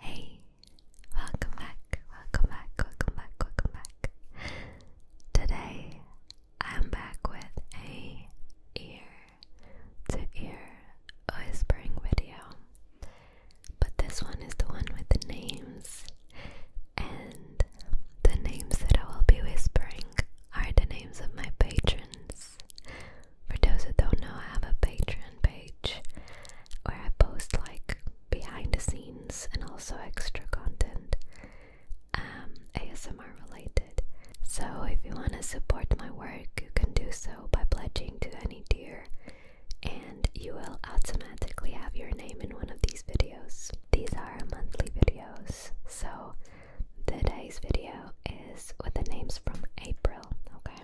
Hey, welcome back, welcome back, welcome back, welcome back. Today I'm back with a ear to ear whispering video. But this one is the one with the names and the names that I will be whispering are the names of my patrons. For those who don't know, I have a patron page where I post like behind the scenes and also extra content um, ASMR related. So if you want to support my work, you can do so by pledging to any tier, and you will automatically have your name in one of these videos these are monthly videos, so today's video is with the names from April, okay?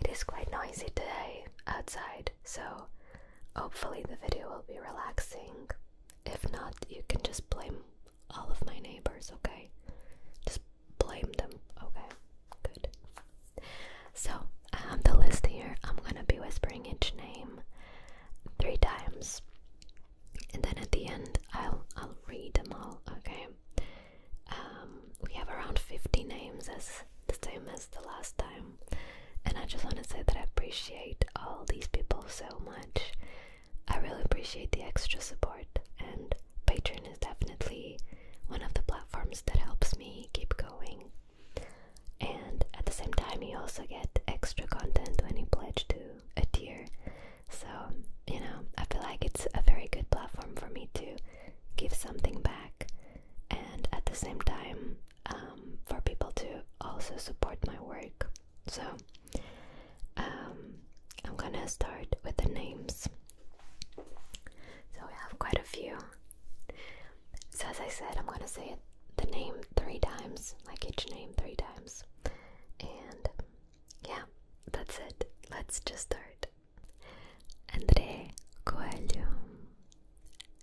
It is quite noisy today outside, so hopefully the video will be relaxing. If not, you can just blame all of my neighbors, okay? Just blame them, okay? Good. So, have the list here, I'm gonna be whispering each name three times, and then at the end I'll I'll read them all. Okay. Um, we have around fifty names, as the same as the last time, and I just want to say that I appreciate all these people so much. I really appreciate the extra support, and Patreon is definitely one of the platforms that helps me keep going and at the same time, you also get extra content when you pledge to a tier. So, you know, I feel like it's a very good platform for me to give something back and at the same time um, for people to also support my work. So, um, I'm gonna start with the names. So, we have quite a few. So, as I said, I'm gonna say it the name three times, like each name three times. And yeah, that's it. Let's just start. Andre Coelho.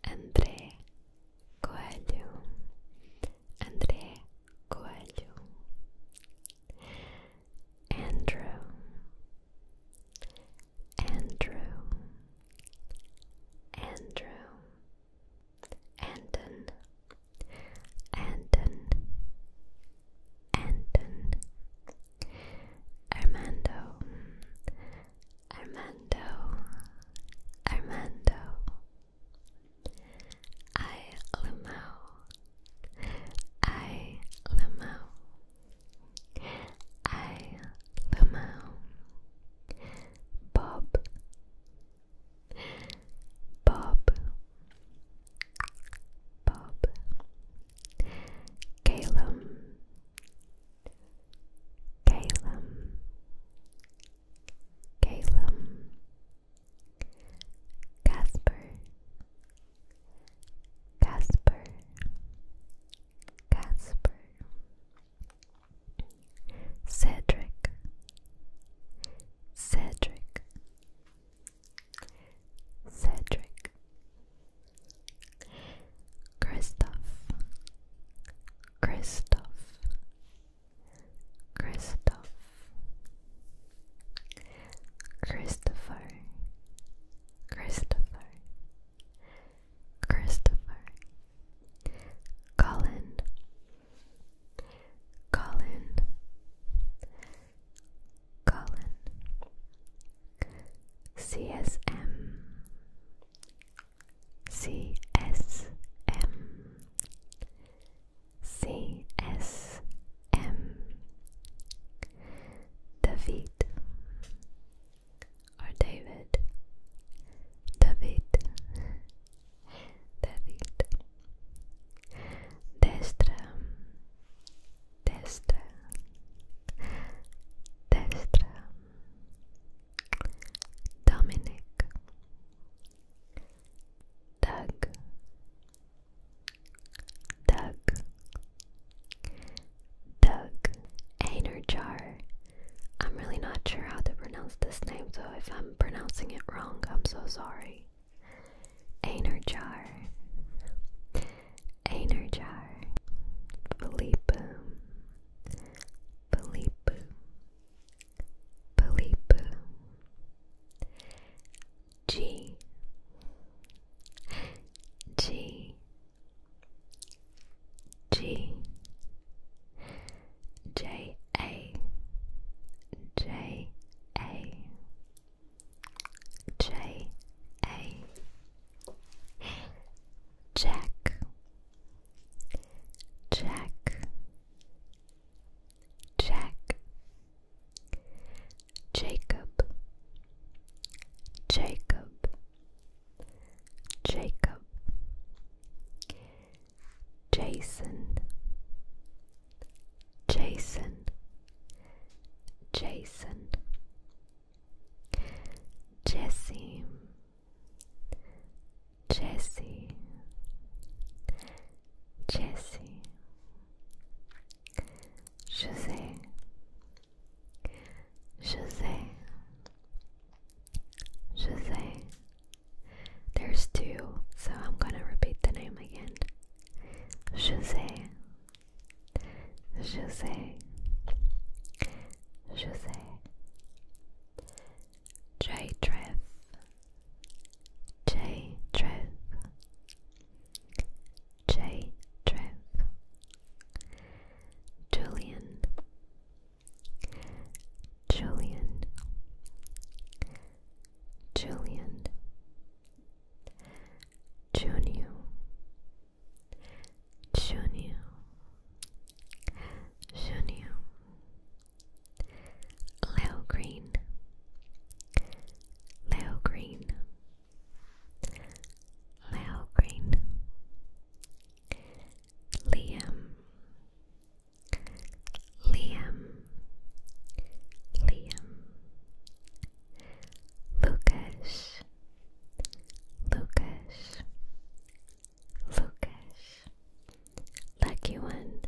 Andre Coelho. Andre Coelho. Andrew. Andrew. Andrew. Anton, Anton, Anton, Armando, Armando, Armando, I Lamau, I Lamau, I Lamau, Bob, Bob, Bob, Calum, Calum, Calum, Casper, Casper, Casper. Cedric, Cedric, Cedric, Christoph, Christoph, Christoph, Christopher, Christopher. Christopher, Colin, Colin, Colin, CSM, David or David? David. David. Destra. Destra. Destra. Dominic. Doug. Doug. Doug. Einerjar. I'm really not sure how to pronounce this name, so if I'm pronouncing it wrong, I'm so sorry. Energar, Energar, Philippe, Philippe, Philippe, G, G, G J A J A J A Jack Jack Jack Jacob Jacob Jacob Jason, Jason, Jason, Jesse, Jesse, Jesse, Jose, Jose, Shazay. There's two, so I'm gonna repeat the name again. Shazay. Jose, Jose, J Trev, J Trev, J Trev, Julian, Julian, Julian, Junio, Junio, Junio, Leo Green, Leo Green, Leo Green. Liam, Liam, Liam, Lucas, Lucas, Lucas, Lucky One,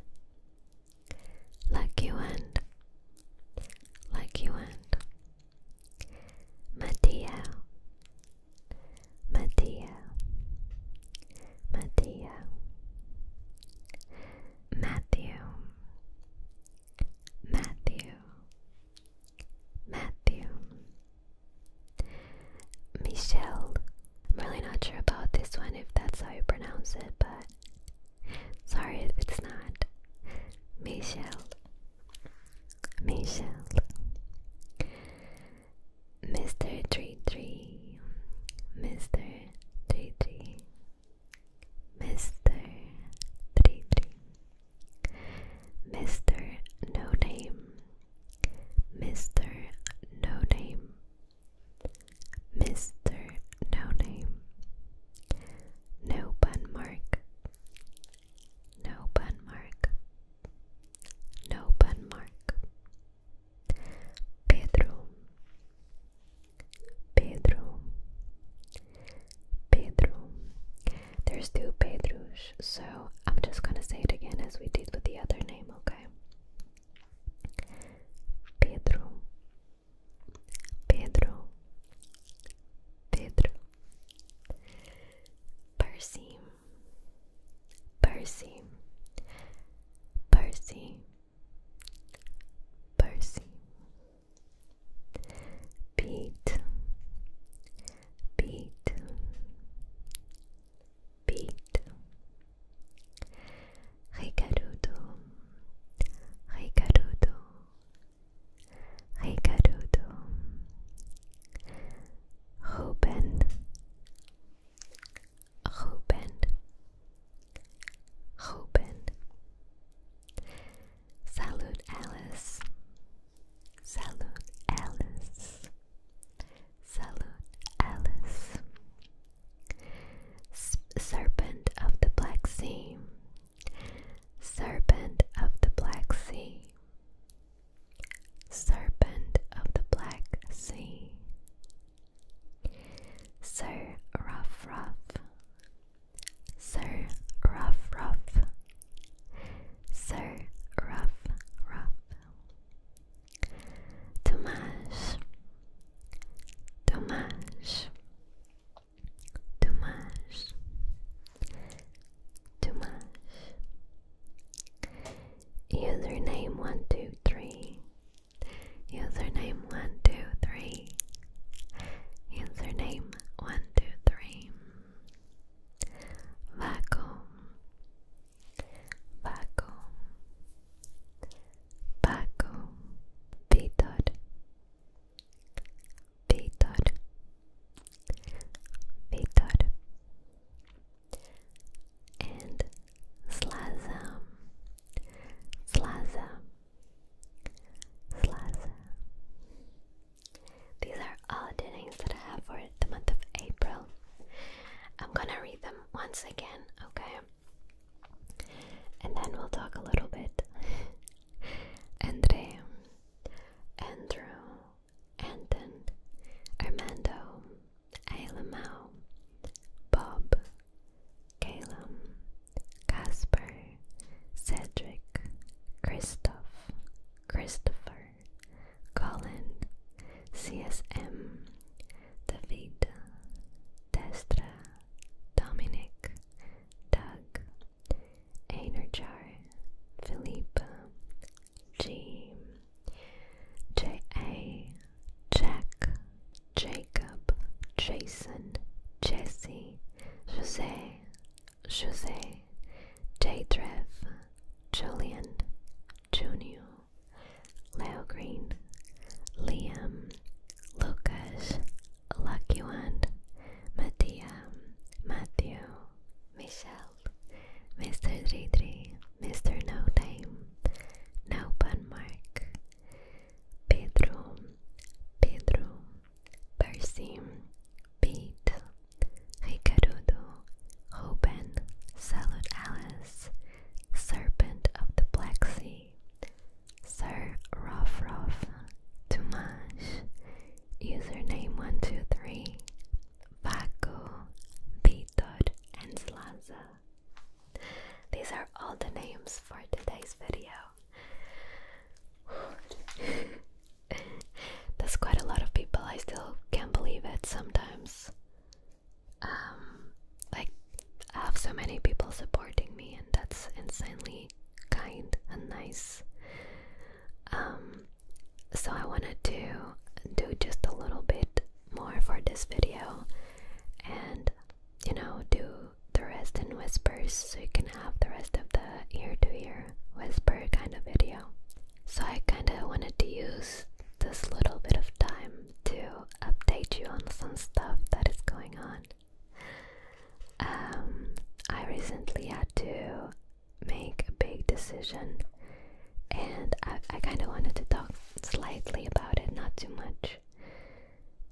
Lucky One, Lucky One, Mattia, Mattia, Mattia, Matthew, Matthew, Matthew, Michelle. really not sure about this one if that's how you pronounce it, but sorry if it's not. Michelle, Michelle. Mr. Tree Tree, Mr. Tree Tree, Mr. Tree Tree, Mr. No Name, Mr. No Name, Mr. No Name, No Bun Mark, No Bun Mark. No bun mark. Pedro. Pedro. Pedro. There's two Pedros, so I'm just gonna say it again as we did with the other name, okay? Pedro. Pedro. Pedro. Percy. Percy, Percy, Percy, Pete, Pete, Pete, Ricardo, Ricardo, Ricardo, Hoben Hoben Hoben Salut, Alice Salut, Alice Salut, Alice Serpent of the Black Sea Serpent of the Black Sea Serpent of the Black Sea, Sir Rough Rough, Sir Rough Rough, Sir Rough Rough, Tomasz, Tomasz, Tomasz, Tomasz. Username one two three. Username one two three. Username one two three. Vacuum. Vacuum. Vacuum. Vitor. Vitor. Vitor and Slaza, Slaza, Slaza. These are all the names that I have for the month of April. I'm gonna read them once again, okay? And then we'll talk a little bit. Andre, Andrew, Anton, Armando, Ailamau, Bob, Caleb, Casper, Cedric, Christoph, Christopher, Colin, CSM, David, Destra, Dominic, Doug, Einerjar, Philippe, Jim. J.A. Jack, Jacob, Jason, Jesse, Jose, Jose, Daydrev, Julian, Junior, Leo Green, Liam, Lucas, Lucky One, Mattia, Matthew, Michelle, Mr. Dre Dre, Mr. No Time, No Pun Mark, Pedro, Pedro, Percy, Pete, Ricardo, Ruben, Salud Alice, Serpent of the Black Sea, Sir Roff Roff, Tumash, Username123, Vaco, Vitor, and Slaza. These are all the names for today's video. That's quite a lot of people, I still can't believe it sometimes. Um, like, I have so many people supporting me, and that's insanely kind and nice. Um, so I wanted to do just a little bit more for this video and you know do the rest in whispers so you can have the rest of the ear to ear whisper kind of video. So I kind of wanted to use this little bit of time to update you on some stuff that is going on. Um, I recently had to make a big decision, and I, kind of wanted to talk slightly about it, not too much.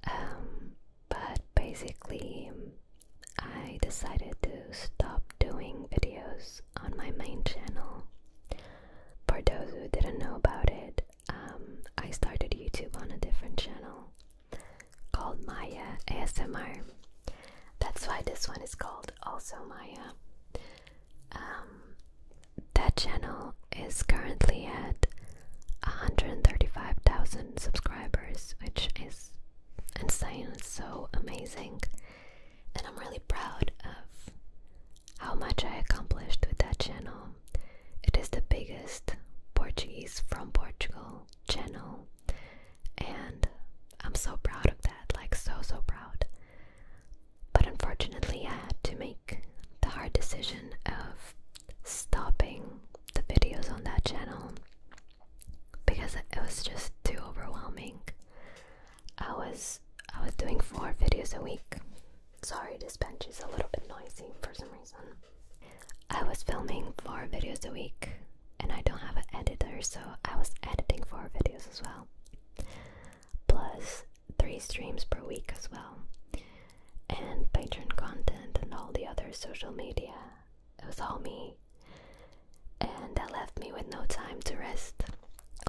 Um, but basically, I decided to stop doing videos on my main channel. For those who didn't know about it, um, I started YouTube on a different channel called Maya ASMR. That's why this one is called Also Maya. Um, that channel is currently at 135,000 subscribers, which is insane. It's so amazing. And I'm really proud of how much I accomplished with that channel. It is the biggest Portuguese from Portugal channel and I'm so proud of that, like so so proud. But unfortunately, I had to make the hard decision of stopping the videos on that channel because it was just too overwhelming. I was I was doing four videos a week. Sorry, this bench is a little bit noisy for some reason. I was filming four videos a week and I don't have an editor, so I was editing four videos as well. Plus three streams per week as well, and patron content and all the other social media. It was all me, and that left me with no time to rest,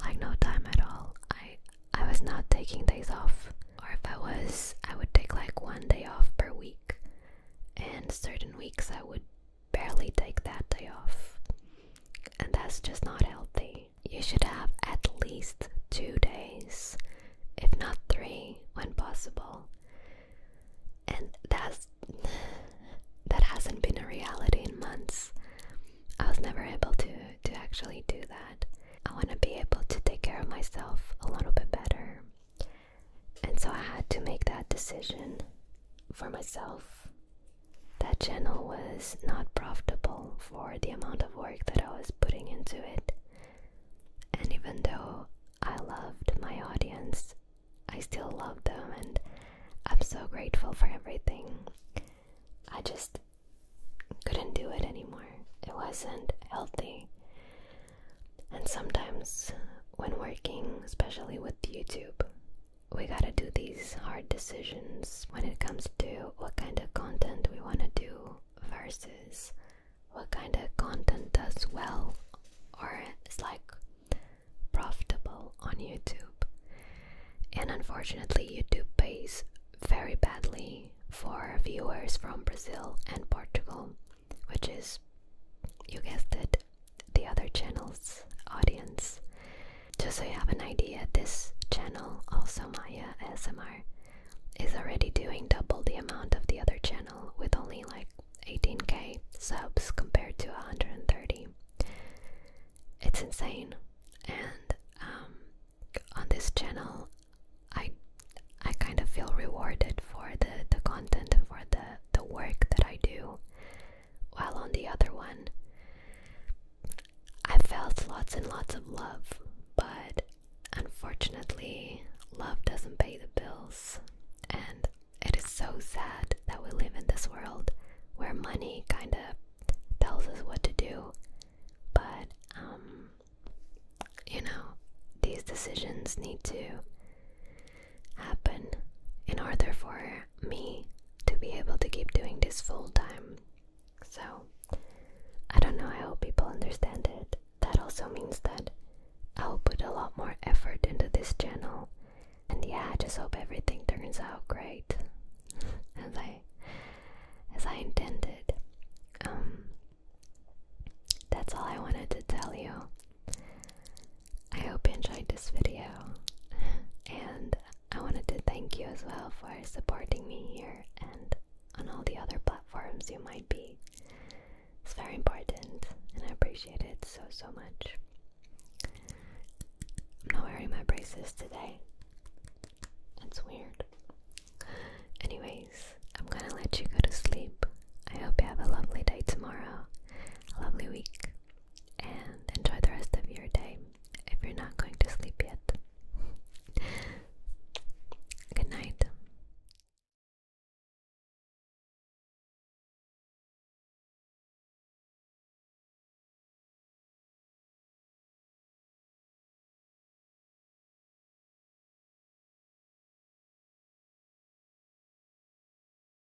like no time at all. I I was not taking days off, or if I was, I would take like one day off per week, and certain weeks I would barely take that day off. And that's just not healthy. You should have at least two days, if not three, when possible. And that's that hasn't been a reality in months. I was never able to to actually do that. I want to be able to take care of myself a little bit better. And so I had to make that decision for myself that channel was not profitable for the amount of work that I was putting into it. And even though I loved my audience, I still loved them and I'm so grateful for everything. I just couldn't do it anymore. It wasn't healthy. And sometimes, when working, especially with YouTube, we gotta do these hard decisions when it comes to what kind of content we wanna do versus what kind of content does well or is like profitable on YouTube. And unfortunately, YouTube pays very badly for viewers from Brazil and Portugal, which is, you guessed it, the other channel's audience. Just so you have an idea, this channel, also Maya ASMR, is already doing double the amount of the other channel with only like 18k subs compared to 130. It's insane. And um, on this channel, I I kind of feel rewarded for the the content and for the the work that I do while on the other one, I felt lots and lots of love, but unfortunately, love doesn't pay the bills. And it is so sad that we live in this world where money kind of tells us what to do, but um, you know, these decisions need to happen in order for me to be able to keep doing this full time. So, I don't know, I hope people understand it. That also means that I'll put a lot more effort into this channel. And yeah, I just hope everything turns out great as I as I intended. Um that's all I wanted to tell you. I hope you enjoyed this video, and I wanted to thank you as well for supporting me here and on all the other platforms you might be. It's very important, and I appreciate it so, so much. I'm not wearing my braces today. That's weird. Anyways, I'm gonna let you go to sleep. I hope you have a lovely day tomorrow, a lovely week, and enjoy the rest of your day if you're not going to sleep yet. Good night.